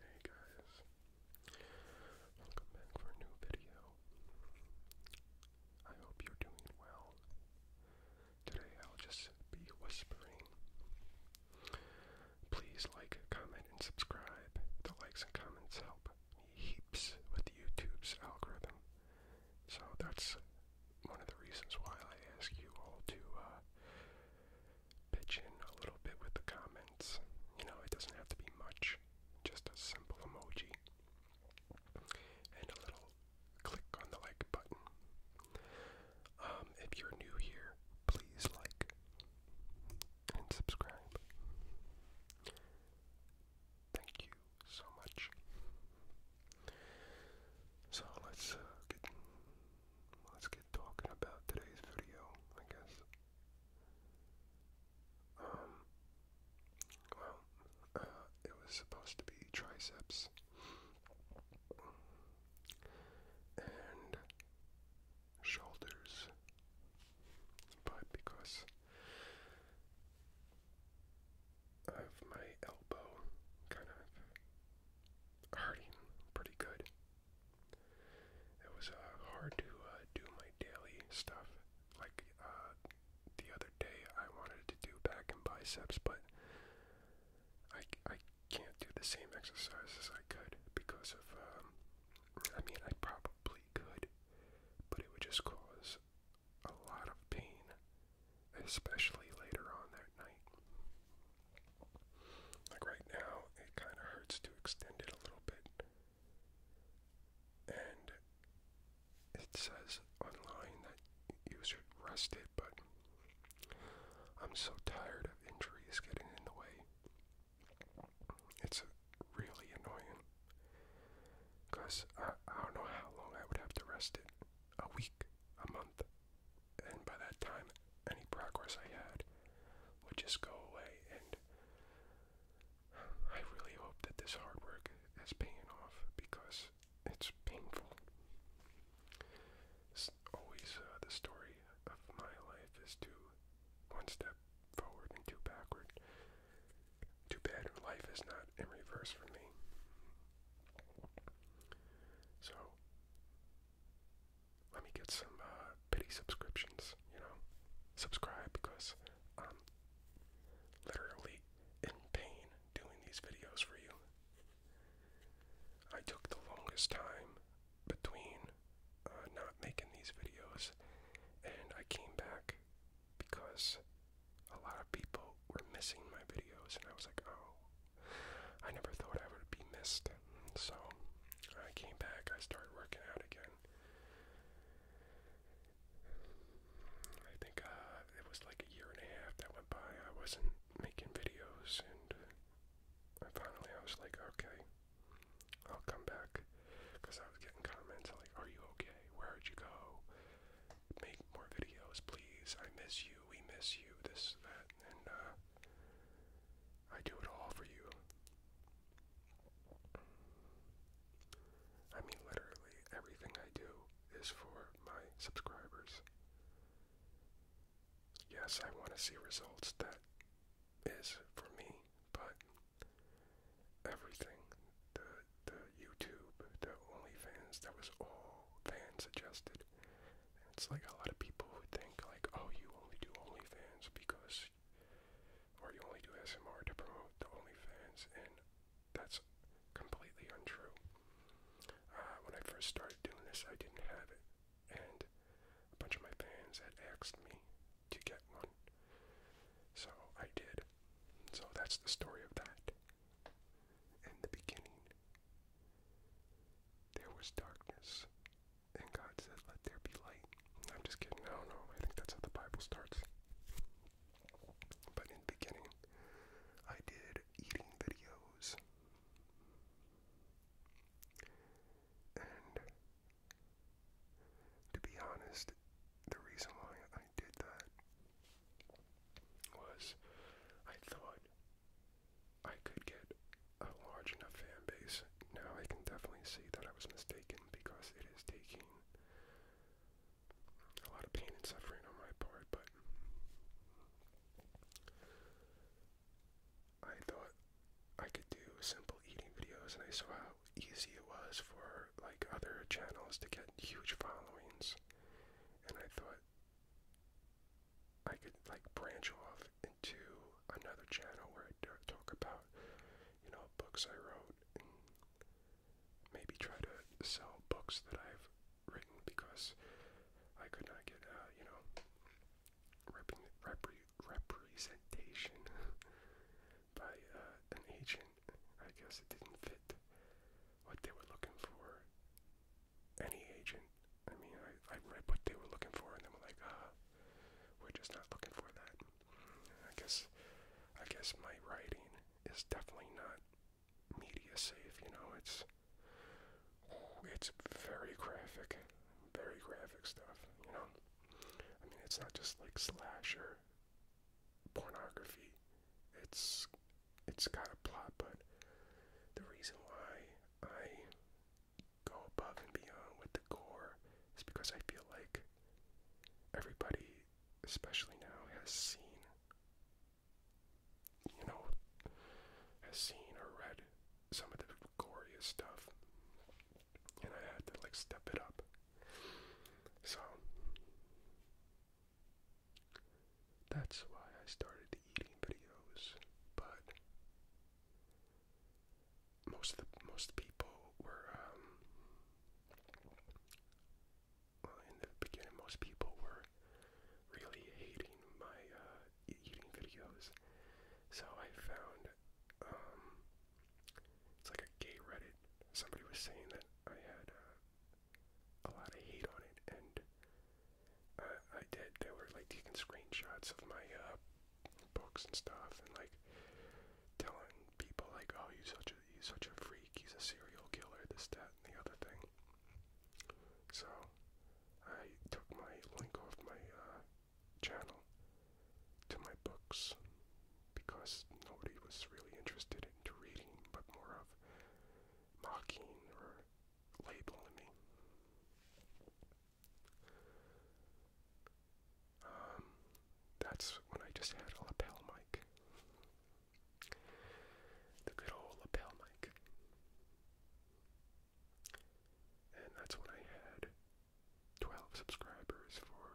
Hey guys, welcome back for a new video. I hope you're doing well. Today I'll just be whispering. Please like, comment, and subscribe. The likes and comments help heaps with YouTube's algorithm. So that's one of the reasons why I ask you all to uh, pitch in a little bit with the comments. You know, it doesn't have to be much, just a simple emoji and a little click on the like button. Um, if you're new here, please like and subscribe. Thank you so much. So let's uh, let's get talking about today's video, I guess. Um, well, uh, it was supposed to be triceps. And shoulders, but because of my elbow kind of hurting pretty good, it was uh, hard to uh, do my daily stuff. Like uh, the other day, I wanted to do back and biceps, but I, I can't do the same exercise as I could because of. Um, I mean, I probably could, but it would just cause a lot of pain, especially later on that night. Like right now, it kind of hurts to extend it a little bit. And it says online that you should rest it, but I'm so tired of injuries getting in the way. It's really annoying. Because I, don't know how long I would have to rest it. A week, a month, and by that time, any progress I had would just go away. And I really hope that this hard work is paying off because it's painful. It's always uh, the story of my life is to one step forward and two backward. Too bad life is not in reverse for me. So, let me get some uh, pity subscriptions, you know, subscribe because I'm literally in pain doing these videos for you. I took the longest time between uh, not making these videos, and I came back because a lot of people were missing my videos, and I was like, oh, I never thought I would be missed. So I came back, I started working out again. I think uh, it was like a year and a half that went by. I wasn't making videos, and I finally I was like, okay, I'll come back, because I was getting comments like, "Are you okay? Where'd you go? Make more videos, please. I miss you. We miss you. This, that, and uh, I do it all for you. I mean, literally, everything I do is for my subscribers. Yes, I want to see results that is for me, but everything the, the YouTube, the OnlyFans, that was all fans suggested. It's like a lot of people who think like, oh, you only do OnlyFans because, or you only do SMR to promote the OnlyFans, and that's completely untrue. Uh, when I first started doing this, I didn't have it, and a bunch of my fans had asked me to get one, so I did. So that's the story of that. In the beginning, there was darkness, and God said, Let there be light. I'm just kidding. I don't know. I think that's how the Bible starts. But in the beginning, I did eating videos. And to be honest, the reason why I did that was I thought I could get a large enough fan base. Now I can definitely see that I was mistaken because it is taking a lot of pain and suffering on my part, but I thought I could do simple eating videos and I saw how easy it was for like other channels to get huge followings and I thought I could like branch off into another channel where I talk about, you know, books I wrote maybe try to sell books that I've written because I could not get, uh, you know, representation by uh, an agent. I guess it didn't fit what they were looking for any agent. I mean, I, I read what they were looking for, and they were like, ah, we're just not looking for that. I guess, I guess my writing is definitely not media safe. You know, it's it's very graphic, very graphic stuff. You know, I mean, it's not just like slasher pornography. It's it's got a plot, but the reason why I go above and beyond with the gore is because I feel like everybody, especially now, has seen, you know, has seen or read some of the goriest stuff. And I had to like step it up. So that's why I started eating videos, but most of the, most people were um, in the beginning. Most people were really hating my uh, eating videos, so I found um, it's like a gay Reddit. Somebody was saying that I had uh, a lot of hate on it, and uh, I did. They were like taking screenshots of my uh, books and stuff, and like telling people like, "Oh, you such a you such a freak. He's a serial killer. This, that, and the other thing." So I took my link off my uh, channel to my books because nobody was really interested into reading, but more of mocking or label me. Um, that's when I just had a lapel mic. The good old lapel mic. And that's when I had 12 subscribers for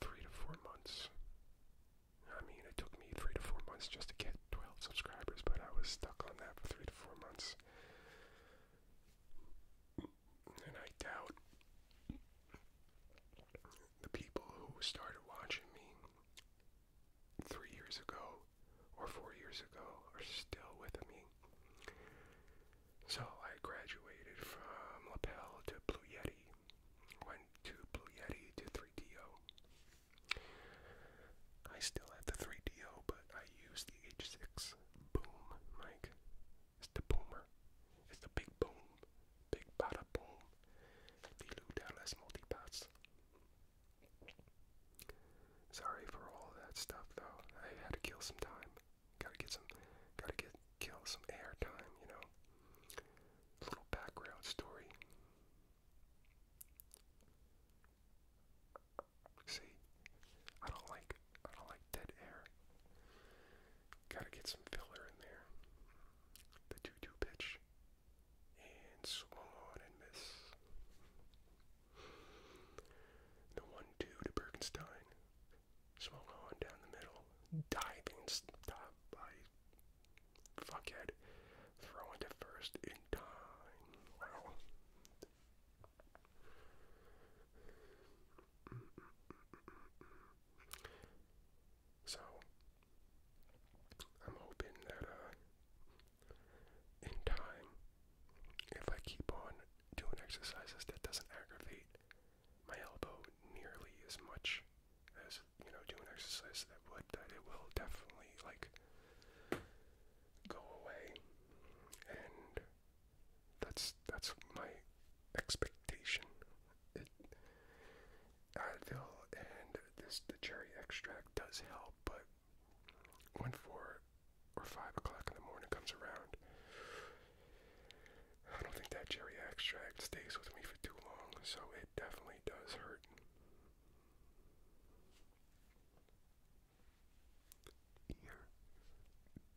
three to four months. I it took me three to four months just to get 12 subscribers, but I was stuck on that for three to four months. And I doubt the people who started watching me three years ago or four years ago are still with me. So I graduated from lapel to Blue Yeti, went to Blue Yeti to 3DO, I still have the 3DO, but I use the H6 boom mic. It's the boomer. It's the big boom. Big bada boom. The Lou Dallas multipass. Sorry for all that stuff though. I had to kill some time. Gotta get some gotta get kill some air time, you know. little background story. See, I don't like I don't like dead air. Gotta get some filler in there. The 2-2 pitch. And swung on and miss. The 1-2 to Bergenstein. Swung on down the middle. Diving stop by Fuckhead. Throw into first in time. So, I'm hoping that uh, in time, if I keep on doing exercises that doesn't aggravate my elbow nearly as much as you know, doing exercise that would, that it will definitely, like, go away. And that's, that's my expectation. Advil and this, the cherry extract does help, but when four or five o'clock in the morning comes around, I don't think that cherry extract stays with me for too long, so it definitely does hurt ear to ear,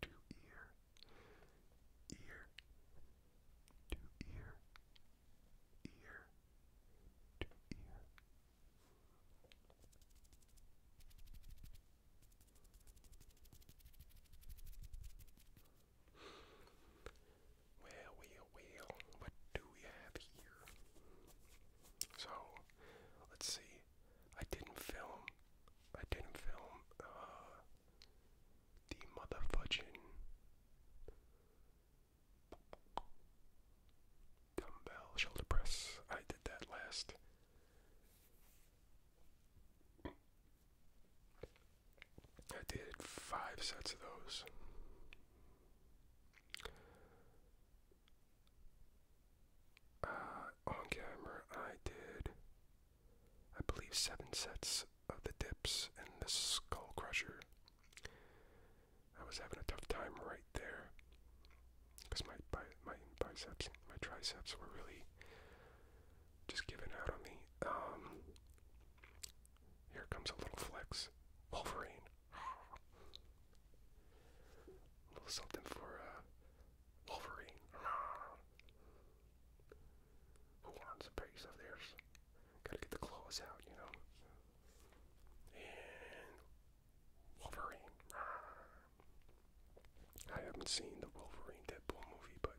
ear to ear, ear to ear. Well, well, well, what do we have here? So, let's see. I didn't film. I didn't film uh, the motherfudging dumbbell shoulder press. I did that last. I did five sets of those. Uh, on camera, I did, I believe, seven sets of the dips and the skull crusher. I was having a tough time right there because my, my, my biceps, my triceps were really just giving out on me. Um, here comes a little flex. Wolverine. A little something for uh, Wolverine. Who wants a piece of theirs? Gotta get the claws out, you know. And Wolverine. I haven't seen the Wolverine Deadpool movie, but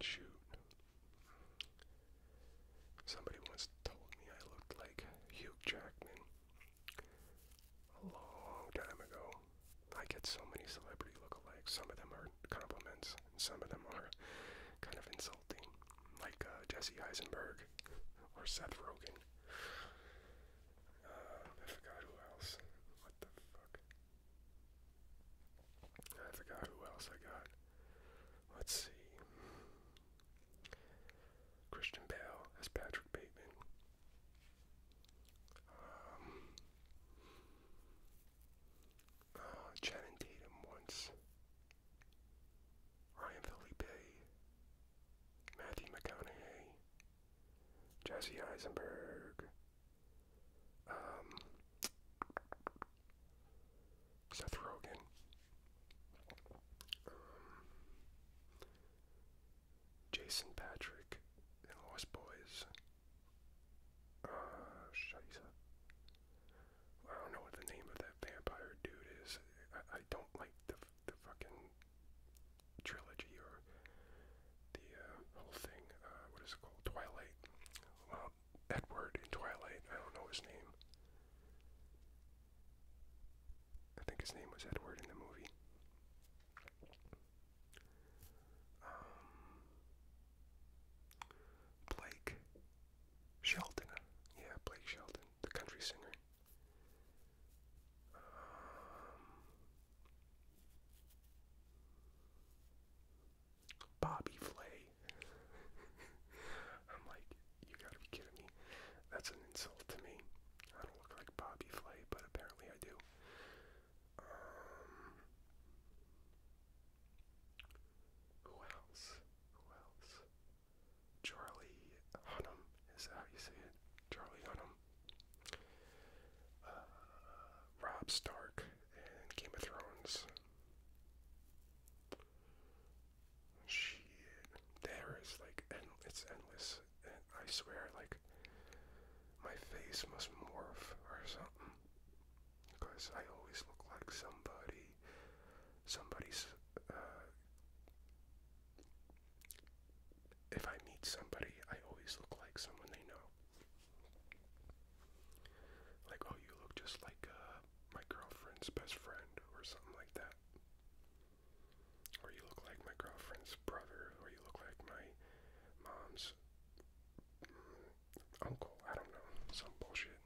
Shoot. Somebody once told me I looked like Hugh Jackman a long time ago. I get so many celebrity lookalikes. Some of them are compliments, some of them are kind of insulting, like uh, Jesse Eisenberg or Seth Rogen. Uh, I forgot who else. What the fuck? I forgot who else I got. Let's see. Christian Bale as Patrick Bateman. Um, uh, Channing Tatum once. Ryan Felipe. Matthew McConaughey. Jesse Eisenberg. Um, Seth Rogen. Um, Jason Patrick and Lost Boys. Uh, I don't know what the name of that vampire dude is. I don't like the the fucking trilogy or the uh, whole thing. Uh, what is it called? Twilight. Well, Edward in Twilight. I don't know his name. I think his name was Edward in the movie. Um, Blake Shelton. Yeah, Blake Shelton, the country singer. Um, Bobby Flay. I'm like, you gotta be kidding me. That's an insult to me. I don't look like Bobby Flay, but apparently I do. Um, who else? Who else? Charlie Hunnam. Is that how you say it? Charlie Hunnam. Uh, Rob Stark and Game of Thrones. Shit, there is like, end, it's endless. I swear, like, my face must morph or something, because I always look like somebody, somebody's. Uh, if I meet somebody, I always look like someone they know. Like, oh, you look just like uh, my girlfriend's best friend, or something like that. Or you look like my girlfriend's brother, or you look like my mom's mm, uncle. I don't know. Some bullshit.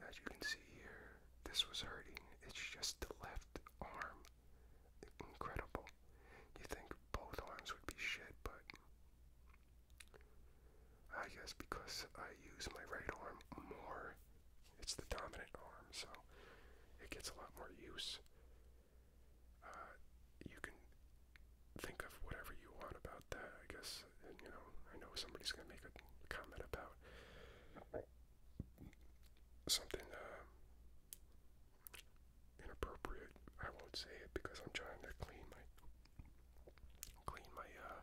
As you can see here, this was hurting. It's just the left arm. Incredible. You think both arms would be shit, but I guess because I use my right arm more, it's the dominant arm, so it gets a lot more use. Uh, you can think of whatever you want about that, I guess. you know, I know somebody's gonna make a comment about something uh, inappropriate. I won't say it because I'm trying to clean my clean my uh,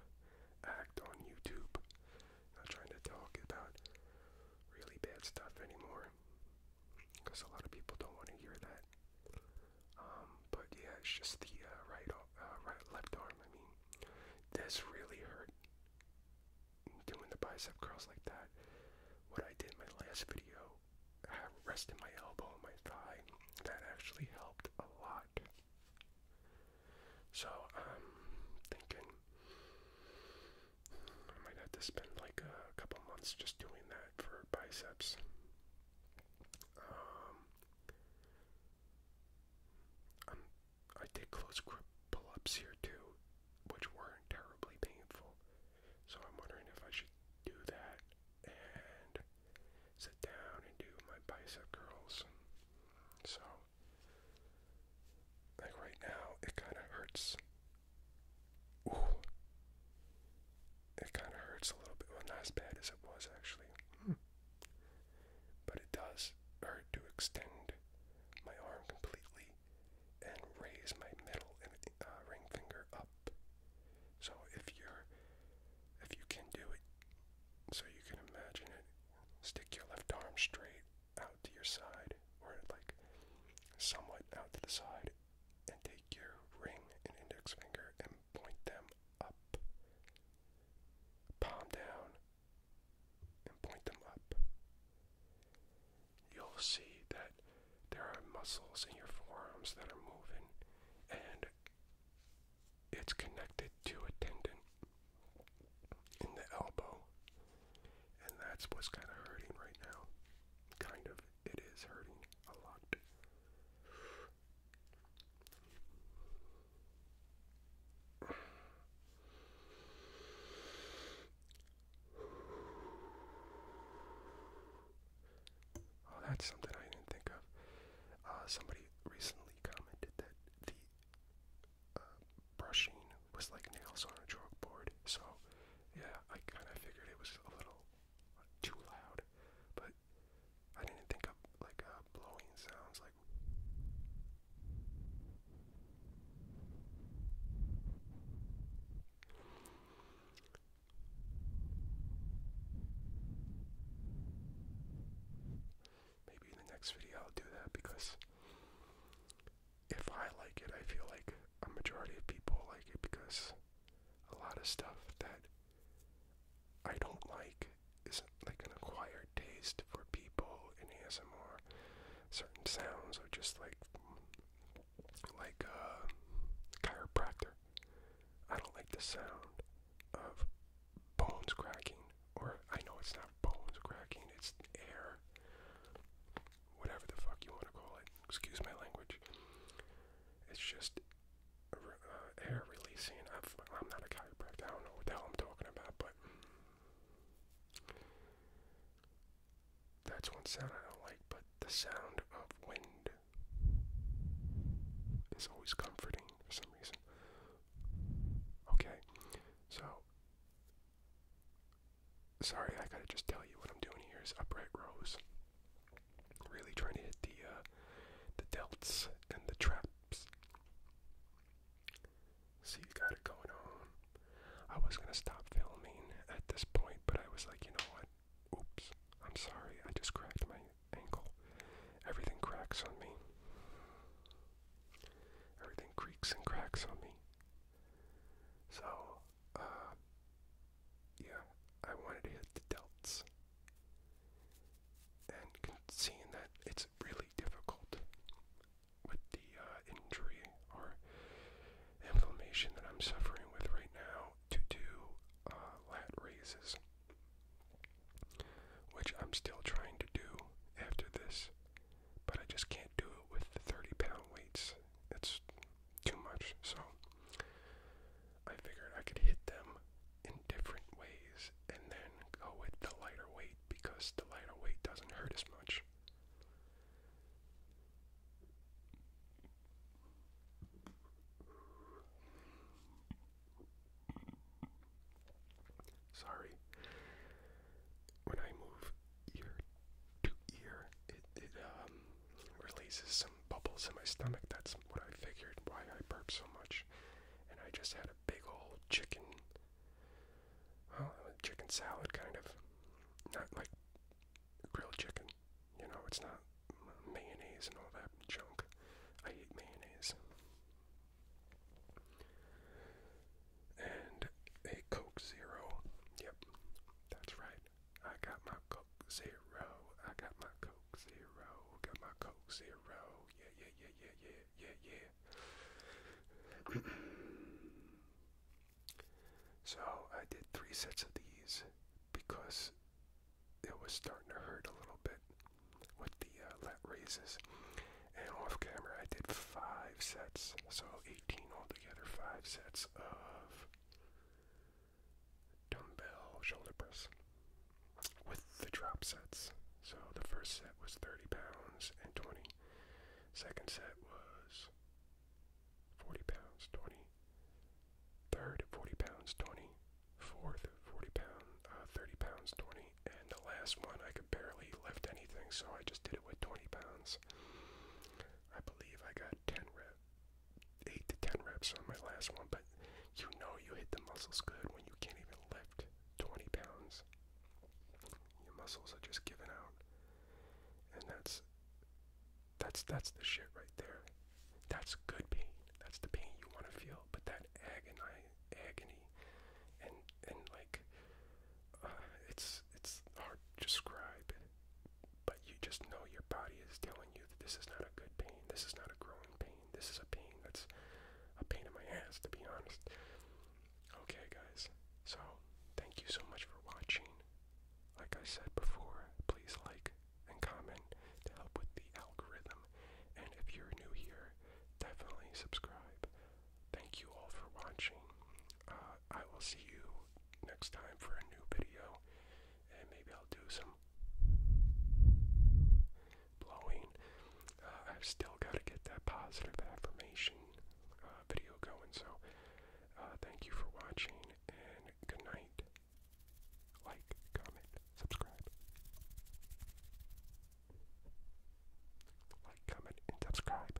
act on YouTube. Not trying to talk about really bad stuff anymore because a lot of people don't want to hear that. Um, but yeah, it's just the uh, right, right, left arm. I mean, this really hurt doing the bicep curls like that. What I did in my last video, I rested my elbow and my thigh. That actually helped a lot. So i um, thinking I might have to spend like a couple months just doing that for biceps. Um, I did close grip pull-ups here too, which weren't terribly painful. So I'm wondering if I should do that and sit down and do my bicep curls. So, like right now, it kind of hurts. Ooh, it kind of hurts a little bit. Well, not as bad as it was actually. Hmm but it does hurt to extend my arm completely and raise my middle and uh, ring finger up. So if you're, if you can do it, so you can imagine it, stick your left arm straight out to your side or like somewhat out to the side and take your ring and index finger and point them up palm down and point them up. You'll see that there are muscles in your forearms that are moving and it's connected to a tendon in the elbow. And that's what's kind of hurting right now. Kind of. It is hurting a lot. Oh, that's something I didn't think of. Uh, somebody recently commented that the uh, brushing was like nails on a chalkboard. So, yeah, I kind of figured it was a little uh, too loud, but I didn't think of like blowing sounds like. Maybe in the next video I'll do that because if I like it, I feel like a majority of people like it because a lot of stuff that I don't like isn't like an acquired taste for people in ASMR. Certain sounds are just like like a uh, chiropractor. I don't like the sound of bones cracking, or I know it's not bones cracking, it's air, whatever the fuck you want to call it. Excuse my language. It's just uh, air releasing. I'm not a chiropractor. I don't know what the hell I'm talking about, but that's one sound I don't like, but the sound of wind is always comforting for some reason. Okay, so sorry, I gotta just tell you what I'm doing here is upright rows. Really trying to hit the uh, the delts and the traps. So you got it going on. I was gonna stop filming at this point, but I was like, you know what? Oops, I'm sorry, I just cracked my ankle. Everything cracks on me. Everything creaks and cracks on me. So, uh, yeah, I wanted to hit the delts. And seeing that it's really difficult with the uh, injury or inflammation that I'm suffering with right now to do uh, lat raises, which I'm still trying to do after this, but I just can't do it with the 30 pound weights. It's too much, so I figured I could hit them in different ways and then go with the lighter weight because the lighter weight doesn't hurt as much. Sorry. When I move ear to ear, it, it um, releases some bubbles in my stomach. That's what I figured why I burp so much. And I just had big old chicken, well, chicken salad kind of, not like grilled chicken. You know, it's not mayonnaise and all that junk. I hate mayonnaise. And a Coke Zero. Yep, that's right. I got my Coke Zero. I got my Coke Zero. Got my Coke Zero. Yeah, yeah, yeah, yeah, yeah yeah, yeah. so I did three sets of these because it was starting to hurt a little bit with the uh, lat raises. And off camera, I did five sets, so 18 altogether, five sets of dumbbell shoulder press with the drop sets. So the first set was 30 pounds and 20. Second set was 40 pounds, 20. Third, 40 pounds, 20. Fourth, 40 pound, uh, 30 pounds, 20. And the last one, I could barely lift anything, so I just did it with 20 pounds. I believe I got 10 reps. 8 to 10 reps on my last one, but you know you hit the muscles good when you can't even lift. 20 pounds. Your muscles are just giving out. And that's that's that's the shit right there. That's good pain. That's the pain you want to feel. But that agony, agony, and and like, uh, it's it's hard to describe. But you just know your body is telling you that this is not a good pain. This is not a growing pain. This is a pain that's a pain in my ass, to be honest. Okay, guys. So, thank you so much for watching. Like I said before, please like and comment to help with the algorithm. And if you're new here, definitely subscribe. Thank you all for watching. Uh, I will see you next time for a new video, and maybe I'll do some blowing. Uh, I've still got to get that positive affirmation uh, video going. So, uh, thank you for watching and good night. Like, comment, subscribe. Like, comment, and subscribe.